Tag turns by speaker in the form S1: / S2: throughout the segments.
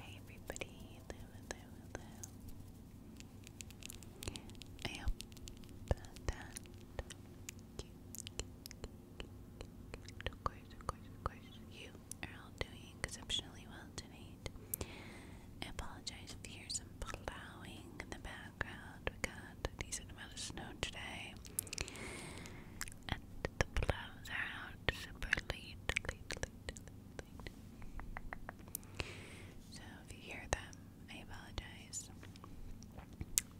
S1: Hey everybody, I hope that you, are all doing exceptionally well tonight. apologize if you hear some plowing in the background. We got a decent amount of snow today that the gloves are out super late, late, late, late, late. So if you hear them, I apologize.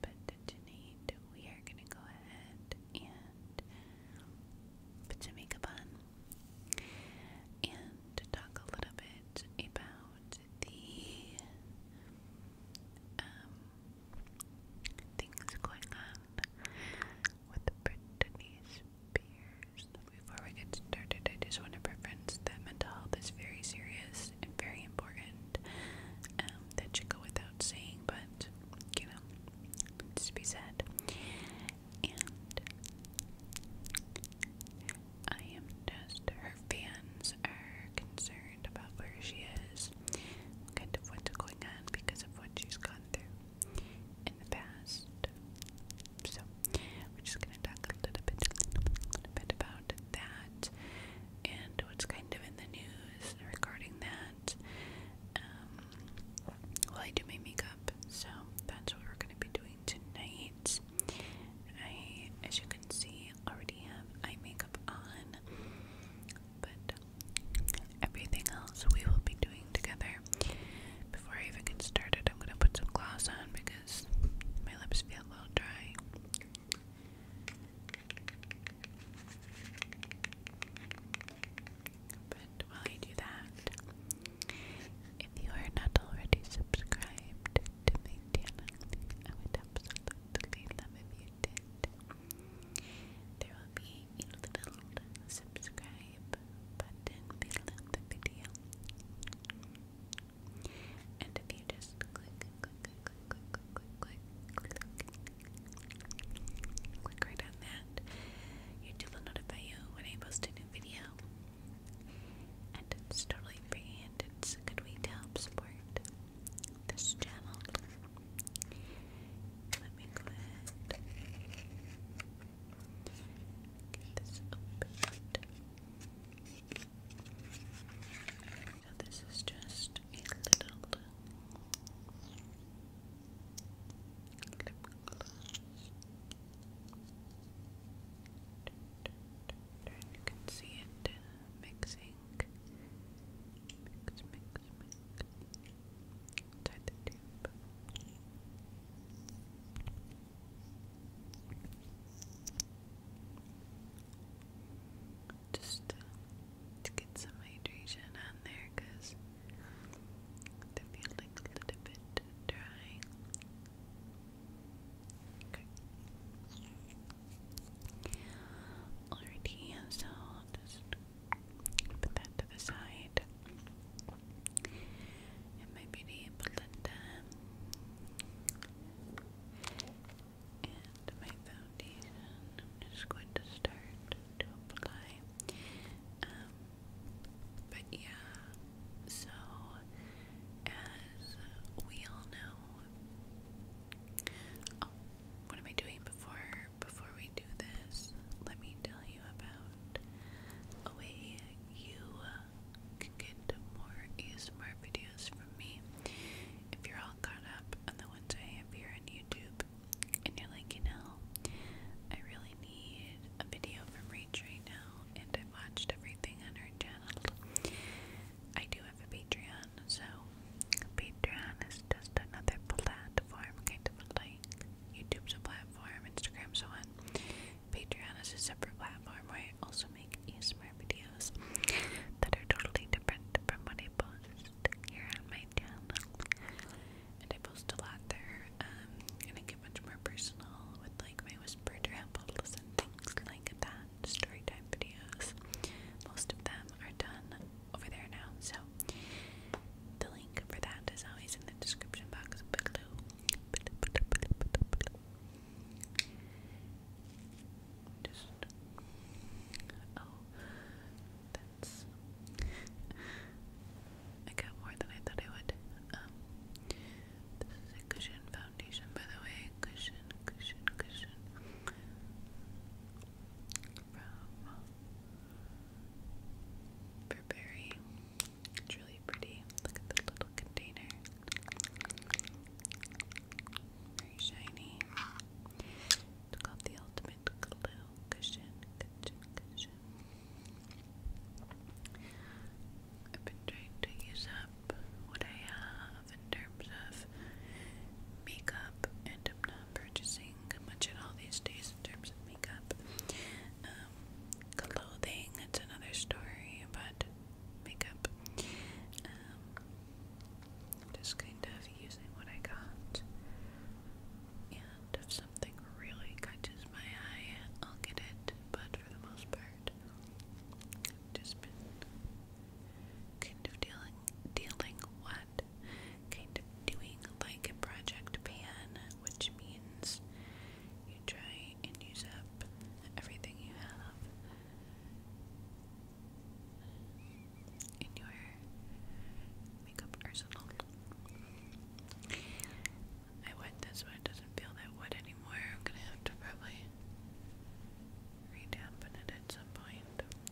S1: But tonight we are gonna go ahead and put some makeup on and talk a little bit about the um, things going on with Britney Spears. Before we get started, I just want to preference that mental health is very serious and very important. Um, that should go without saying, but you know, it's to be said. And I am just her fans are concerned about where she is, kind of what's going on because of what she's gone through in the past. So, we're just going to talk a little bit, a little bit about that and what's kind of in the news regarding that. Um, I do my makeup, so that's what we're going to be doing tonight. I, as you can see, already have eye makeup on but everything else we will be doing together. Before I even get started, I'm gonna put some gloss on because my lips feel a little dry. But while I do that, if you are not already subscribed to my channel, I would absolutely love if you it. There will be a little subscribe button below the video. And if you just click, click, click, click, click, click, click, click, click right on that, YouTube will notify you when I post a new video. And it's totally free and it's a good way to help support this channel. Let me go this opened. this is just a little you can see it mixing. Tied the Just uh, to get some hydration on there because they feel like a little bit dry. Okay. Alrighty, so just Put that to the side. And my beauty blender. And my foundation. I'm just going to start to apply. Um, but yeah, so as we all know, oh, what am I doing before before we do this, let me tell you about a way you uh, can get more smart videos from me. If you're all caught up on the ones I have here on YouTube, and you're like, you know, I really need a video from Rach right now, and I've watched everything on her channel. I do have a Patreon, so Patreon is is just another platform, kind of like YouTube's a platform, Instagram's one. Patreon is a separate platform where I also make ASMR videos that are totally different from what I post here on my channel. And I post a lot there, um, and I get much more personal with like my whisper rambles and things like that, story videos. Most of them are done over there now, so so the link for that is always in the description box below. Just oh, that's I got more than I thought I would. Um, this is a cushion foundation, by the way. Cushion, cushion, cushion from Burberry. It's really pretty. Look at the little container. Very shiny. called the Ultimate Glue Cushion. Cushion, cushion. I've been trying to use up what I have in terms of makeup, and purchasing much at all these days in terms of makeup. Um, clothing, it's another story, but makeup. Um, just kind of using what I got. And if something really catches my eye, I'll get it, but for the most part, just been Kind of dealing, dealing what? Kind of doing like a project pan, which means you try and use up everything you have in your makeup arsenal. I wet this one, it doesn't feel that wet anymore. I'm gonna have to probably redampen it at some point.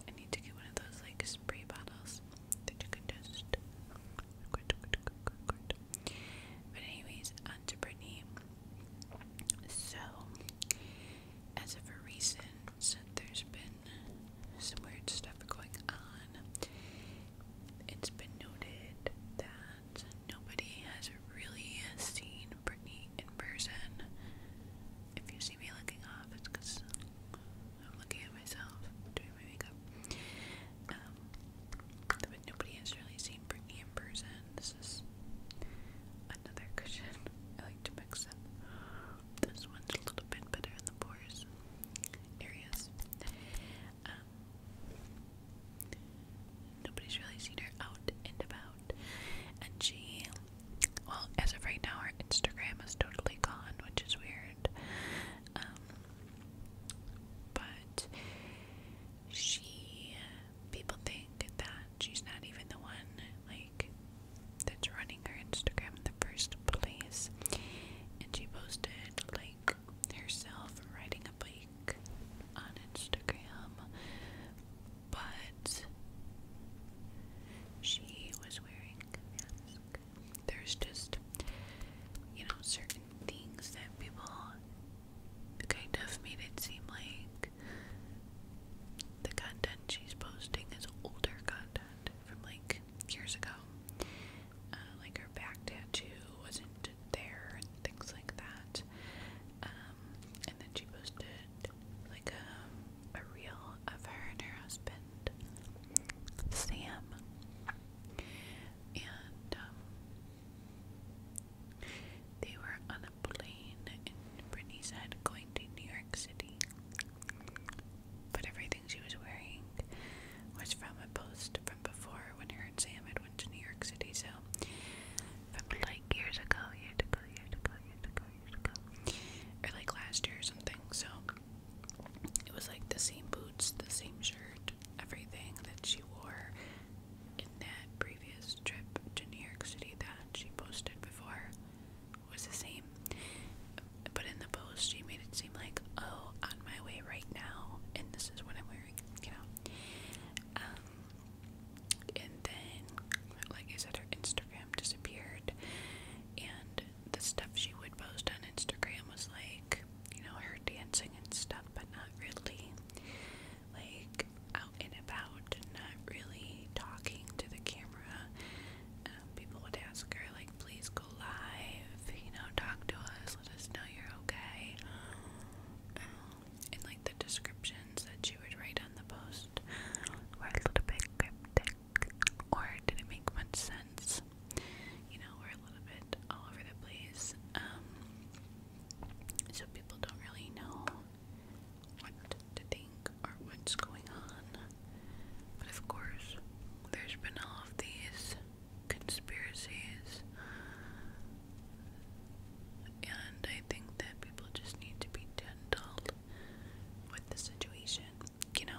S1: I need to get one of those like spray bottles that you can just. But anyways, on to Brittany. So, as of recent, there's been some weird stuff going on. It's been noted that nobody has really seen Brittany in person if you see me looking off, it's because I'm looking at myself doing my makeup. Um, nobody has really seen Brittany in person. This is another cushion. I like to mix them. This one's a little bit better in the pores areas. Um, nobody's really seen her out and about and she, well, as of right now, her Instagram is totally gone, which is weird. Um, but she, people think that she's not even the one, like, that's running her Instagram in the first place. And she posted, like, herself riding a bike on Instagram but she was wearing a mask. There's just, you know, certain things that people kind of made it seem like the content she's posting is older content from like years ago. Uh, like her back tattoo wasn't there and things like that. Um, and then she posted like um, a, a reel of her and her husband, Sam. And um, they were on a plane, and Brittany said, going to New York City. But everything she was wearing was from a post from before when her and Sam had went to New York City. So, from like years ago, years ago, years ago, years ago, years ago, or like last year or something. So it was like the same boots, the same shirt, everything that she wore in that previous trip to New York City that she posted before was the same. But in the post, she made it seem like, oh, on my way right now, and this is what I'm wearing, you know. Um, and then, like I said, her Instagram disappeared, and the stuff she would post on Instagram was like, you know, her dancing and stuff, but not really, like, out and about, not really talking to the camera. Um, people would ask her, like, please go live, you know, talk to us, let us know you're okay. Um, and, like, the description that you would write on the post were a little bit cryptic or didn't make much sense. You know, we a little bit all over the place. Um, so people don't really know what to think or what's going on. But of course, there's been all of these conspiracies. And I think that people just need to be gentle with the situation, you know.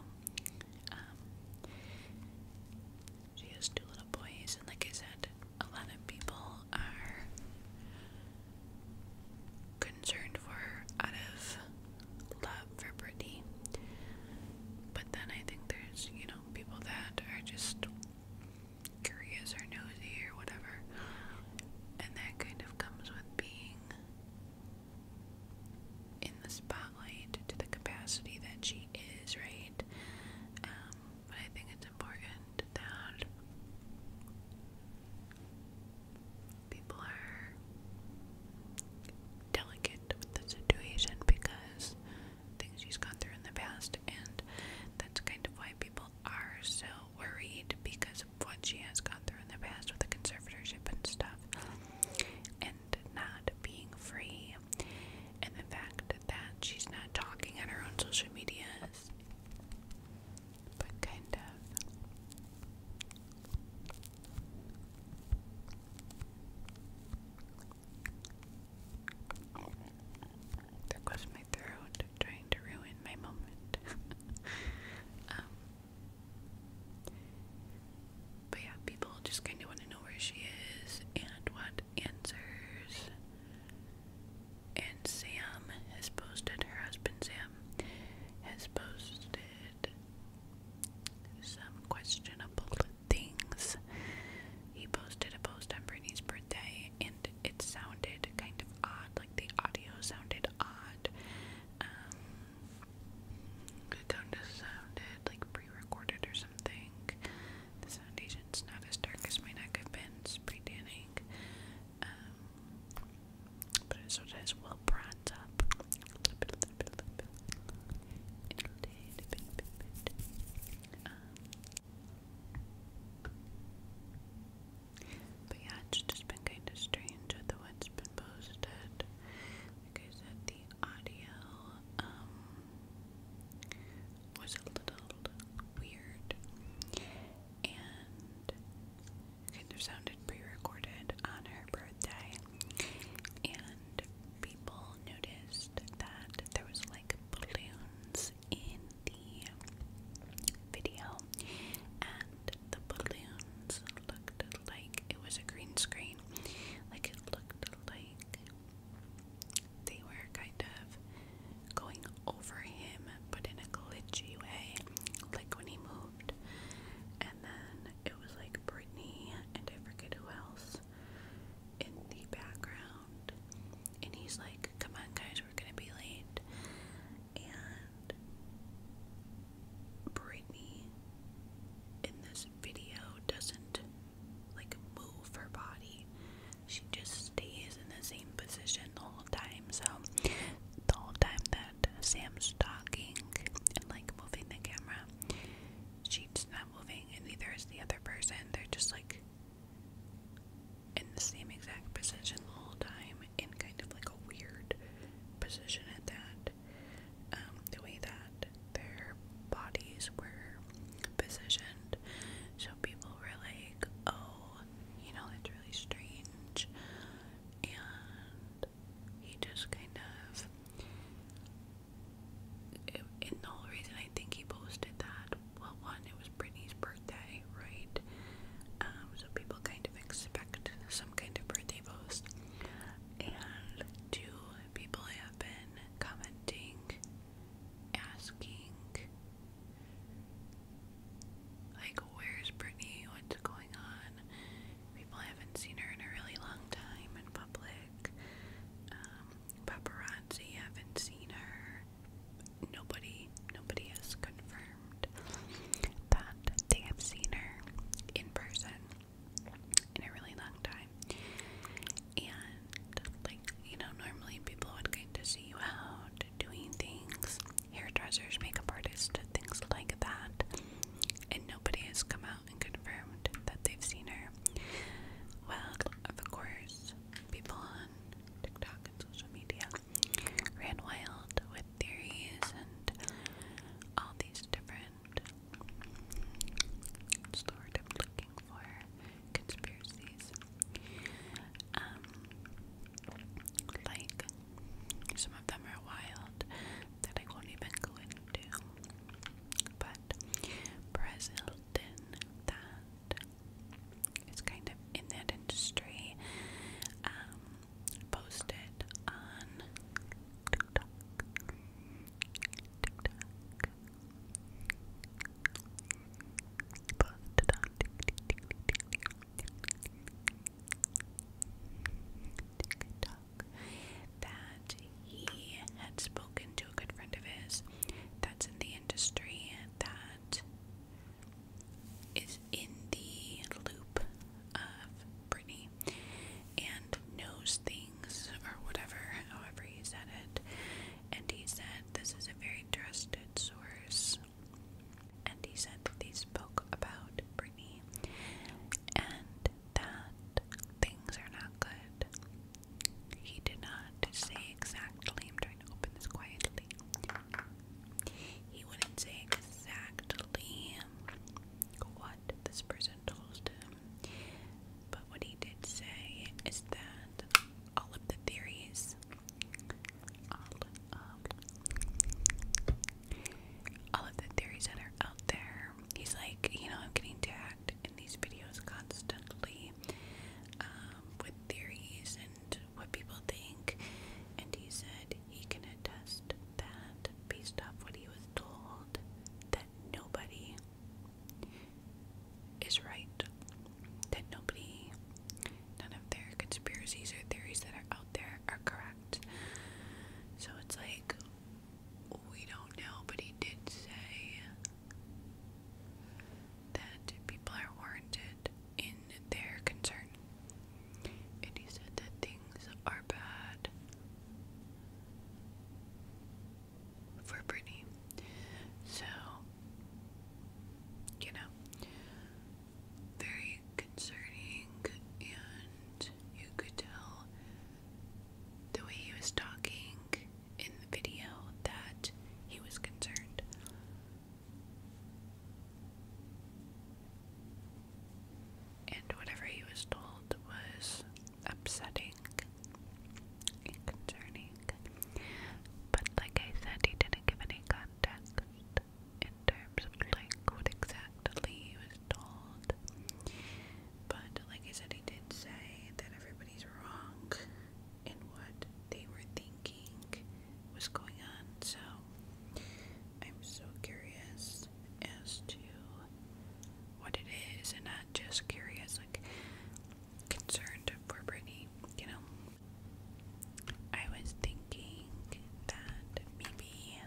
S1: Um, she has two little boys, and like I said, a lot of people are concerned for her out of love for Brittany. But then I think there's, you know, people that are just curious or nosy or whatever and that kind of comes with being in the spotlight to the capacity that she is, right? Um, but I think it's important that people are delicate with the situation because things she's gone through in the past, and that's kind of why people are so worried because what she has gone through in the past with the conservatorship and stuff, and not being free, and the fact that she's not talking on her own social medias, but kind of. There my throat trying to ruin my moment. Um, but yeah, people just kind of want to know where she is and what answers. And Sam has posted, her husband Sam has posted some questionable things. He posted a post on Brittany's birthday and it sounded kind of odd the audio sounded odd. Um, it kind of sounded like pre-recorded or something. The foundation's not as dark as my neck. pretty tanning. Um, but it sort of has well bronze up. Um, but yeah, it's been kind of strange with what been posted. Like I said, the audio um, was a little weird and kind of sounded pre-recorded on her birthday and people noticed that there was like balloons in the video, and the balloons looked like it was a green screen. Like it looked like they were kind of going over him, but in a glitchy way, like when he moved. And then it was like Britney and I forget who else in the background. And he's like, Come on, guys, we're gonna be late. And Brittany in this video doesn't like move her body, she just stays in the same position the whole time. So, the whole time that Sam's talking and like moving the camera, she's not moving, and neither is the other person. They're just like in the same exact position the whole time, in kind of like a weird position at that. Um, the way that their bodies were positioned, so people were like, "Oh, you know, it's really strange," and he just kind of. In the whole reason I think he posted that well, one, it was Britney's birthday, right? Um, so people kind of expect some kind of birthday post. And two, people have been commenting, asking, like, where's Britney? What's going on? People haven't seen her in a really long time in public. Um, paparazzi haven't seen her nobody nobody has confirmed that they have seen her in person in a really long time. And like, you know, normally people would get to see you out doing things, hairdressers, makeup artists, things like that. And nobody has come out and confirmed that they've seen her. Well, of course, people on TikTok and social media, ran wild with theories and all these different sort of looking for conspiracies. Um, like some of them are wild that I won't even go into. But Brazil did that is kind of in that industry um, posted on that he had spoken to a good friend of his that's in the industry that is in the loop of Britney and knows things or whatever, however he said it. And he said this is a very trusted source. And he said that they spoke about Britney and that things are not good. He did not say exactly. I'm trying to open this quietly. He wouldn't say exactly what this person told him, but what he did say is that all of the theories, all of, the theories that are out there, he's like, you know, I'm getting tagged in these videos constantly movie um, with theories and what people think, and he said he can attest that based off what he was told, that nobody is right. That nobody, none of their conspiracies or theories that are out there are correct. So it's like, we don't know, but he did say that people are warranted in their concern. And he said that things are bad for Brittany. So, you know, very concerning, and you could tell the way he was talking in the video that he was concerned. And whatever he was told was upsetting concerning. But like I said, he didn't give any context in terms of like what exactly he was told. But like I said, he did say that everybody's wrong and what they were thinking was going on. So I'm so curious as to what it is, and I'm just curious, like concerned for Brittany, you know. I was thinking that maybe,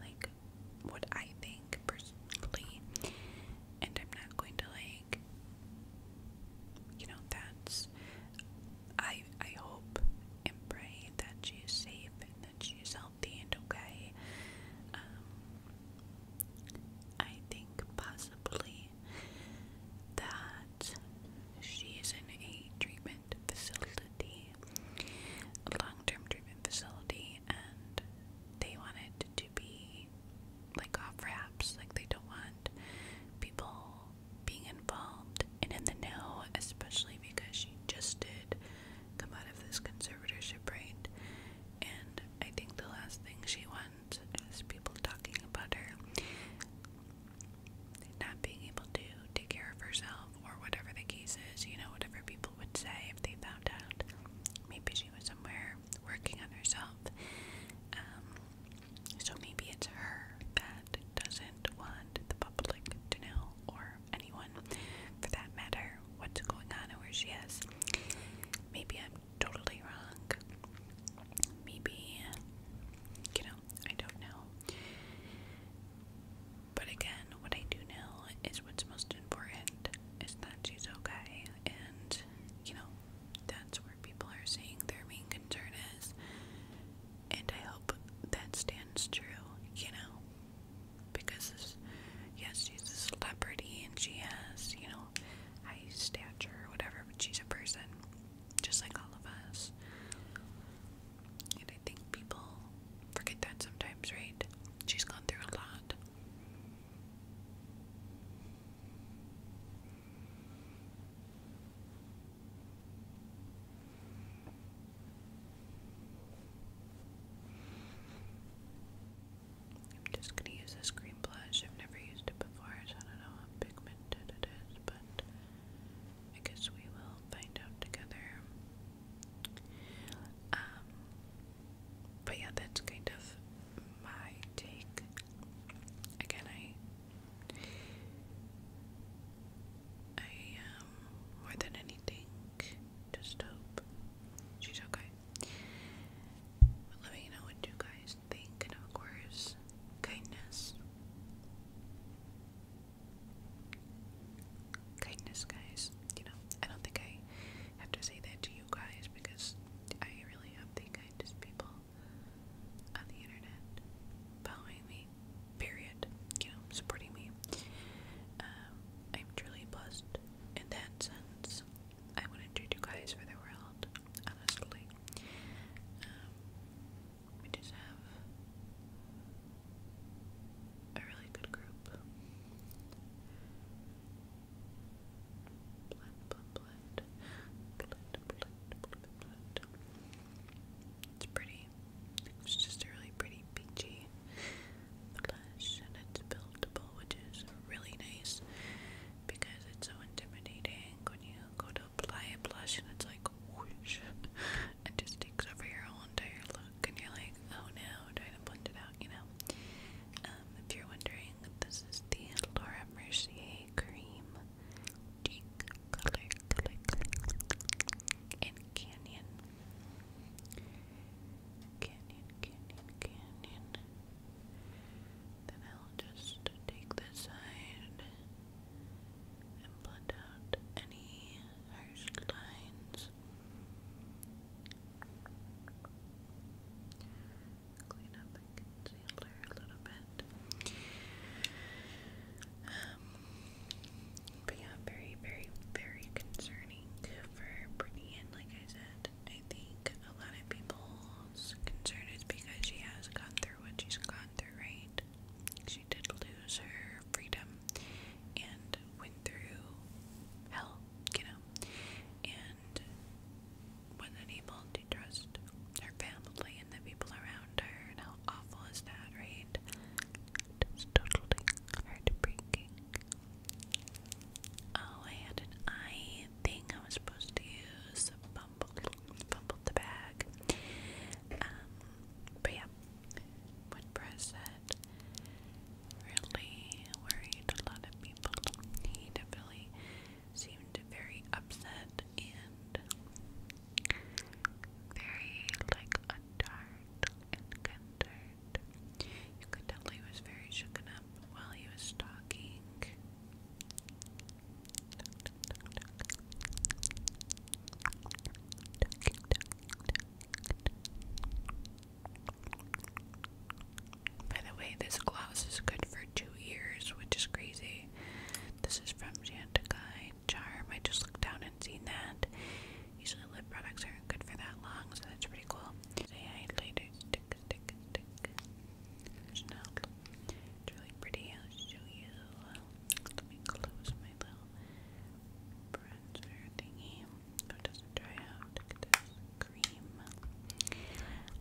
S1: like, what I think personally, and I'm not going to like you know that's I I hope and pray that she is safe and that she is healthy and okay. Um, I think possibly that she is in a treatment facility, a long-term treatment facility, and they wanted to be like off wraps. Like they don't want people being involved and in the know, especially because she just did come out of this conservatorship, right? And I think the last thing she wants is people talking about her not being able to take care of herself or whatever the case is, you know, whatever people would say if they found out. Maybe she was somewhere working on herself. Um, so maybe it's her that doesn't want the public to know, or anyone for that matter, what's going on or where she is. Maybe I'm totally wrong. Maybe, you know, I don't know. But again, what I do know is what's most important is that she's okay and, you know, that's where people are saying their main concern is. And I hope that stands true, you know? Because, yes, she's a celebrity and she has, you know, high stature or whatever, but she's a person, just like all of us. And I think people forget that sometimes, right? She's gone through a lot. I'm just gonna use this green blush. I've never used it before, I don't know how pigmented it is, but I guess we will find out together. Um, but yeah, that's kind of my take. Again, I, I um, more than anything, just hope she's okay. let me know what you guys think, and of course, kindness. Kindness, guys. You know, I don't think I have to say that to you guys because I really have the kindest people on the internet following me, period, you supporting me. Um, I'm truly blessed in that sense. I wouldn't do you guys for the world, honestly. Um, we just have a really good group. Blood, blood, blood. Blood, blood, blood, blood. It's pretty. It's just a really pretty peachy blush, and it's buildable, which is really nice because it's so intimidating when you go to apply a blush and it's like whoosh, it just takes over your whole entire look, and you're like, oh no, trying to blend it out, you know. Um, if you're wondering, this is the Laura Mercier Cream Cheek Color in Canyon. Canyon, Canyon, Canyon. Then I'll just take this side and blend out any harsh lines clean up my concealer a little bit. Um, but yeah, very, very, very concerning for Brittany. And like I said, I think a lot of people's concern is because she has gone through what she's gone through, right? She did lose her freedom and went through hell, you know? And was unable to trust her family and the people around her, and how awful is that, right? It's totally heartbreaking. Oh, I had an eye thing I was supposed to use. Bumbled, bumbled the bag. Um, but yeah, WordPress said really worried. A lot of people, he definitely seemed very upset and very like untired and concerned. You could tell he was very shaken up while he was talking. By the way, this gloss is good for two years, which is crazy. This is from Chantecaille Charm. I just looked down and seen that. Usually lip products aren't good for that long, so that's pretty cool. really pretty. I'll show you. Let me close my little bronzer thingy it doesn't dry out. Look at cream.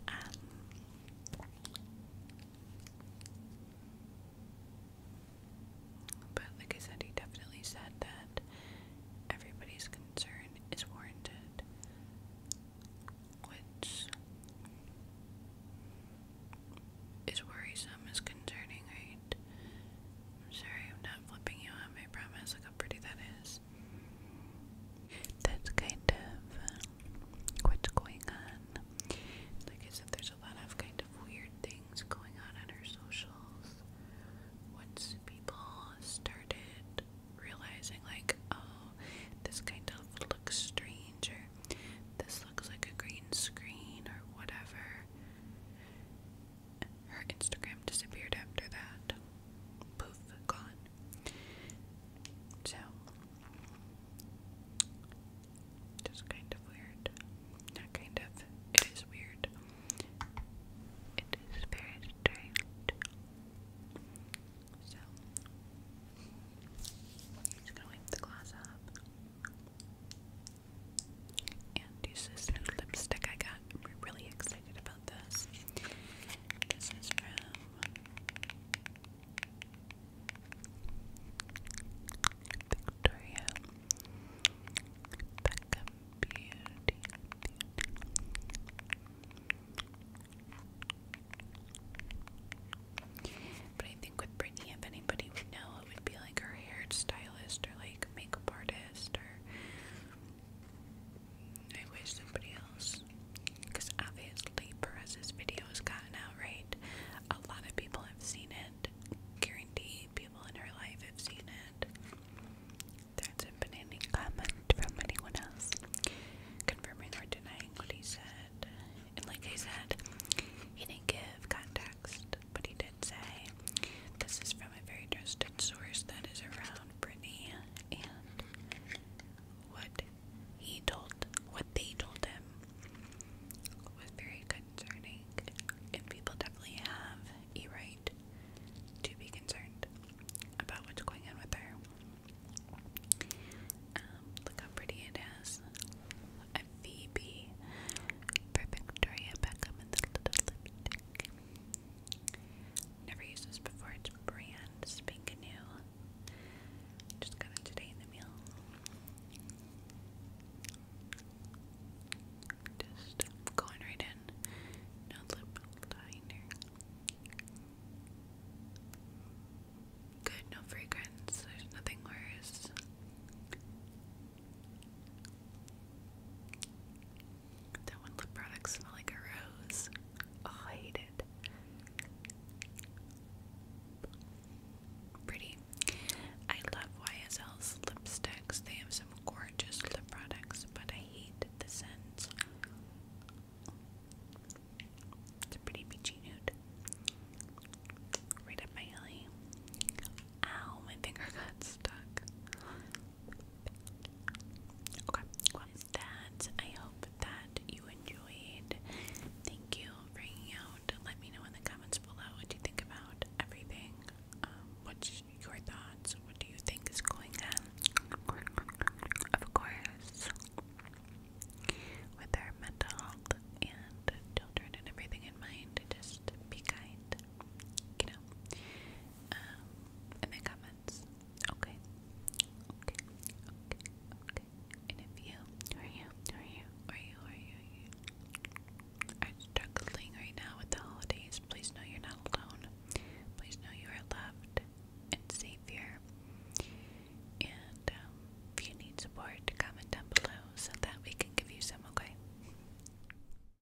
S1: Um, but like I said, he definitely said that everybody's concern is warranted, which is worrisome, is concerning, right? I'm sorry, I'm not flipping you on. I promise. Look how pretty that is that's kind of uh, what's going on. Like I said, there's a lot of kind of weird things going on on our socials. Once people started realizing, like, oh, this kind of looks strange, or this looks like a green screen, or whatever her Instagram disappeared after that. Poof, gone. So, just kind of weird. Not kind of, it is weird. It is very So, just gonna wipe the gloss up. And use this new lipstick I got. I'm really excited about this. is from Victoria Beckham Beauty. But I think with Brittany, if anybody would know, it would be like her hair or like makeup artist or I wish somebody else, because obviously Perez's video has gotten out, right? A lot of people have seen it. Guarantee people in her life have seen it. There hasn't been any comment from anyone else confirming or denying what he said. And like I said, he didn't give context, but he did say this is from a very trusted source that is around Brittany and what he told, what they told him was very concerning, and people definitely have a right to be concerned about what's going on with her. Um, look how pretty it is. A Phoebe for Victoria Beckham and the little lipstick. Never used this before. It's brand spanking new. Just got it today in the mail. Just going right in. No lip liner. Good, no fragrance. There's nothing worse. That when lip products smell like a rose. Oh, I hate it. Pretty. I love YSL's lipsticks. They have some gorgeous lip products, but I hate the scents. It's a pretty peachy nude. Right up my alley. Ow, my finger got stuck. Okay, that I hope that you enjoyed. Thank you for hanging out. Let me know in the comments below what you think about everything. Um, what's your thoughts? What do you think is going on? Of course, with our mental health and children and everything in mind, just be kind. You know, um, in the comments. Okay. Okay. Okay. Okay. And if you or you or you or you or you struggling right now with the holidays, please know you're not alone. Please know you are loved and safe here. And um, if you need support, comment down below so that we can give you some, okay?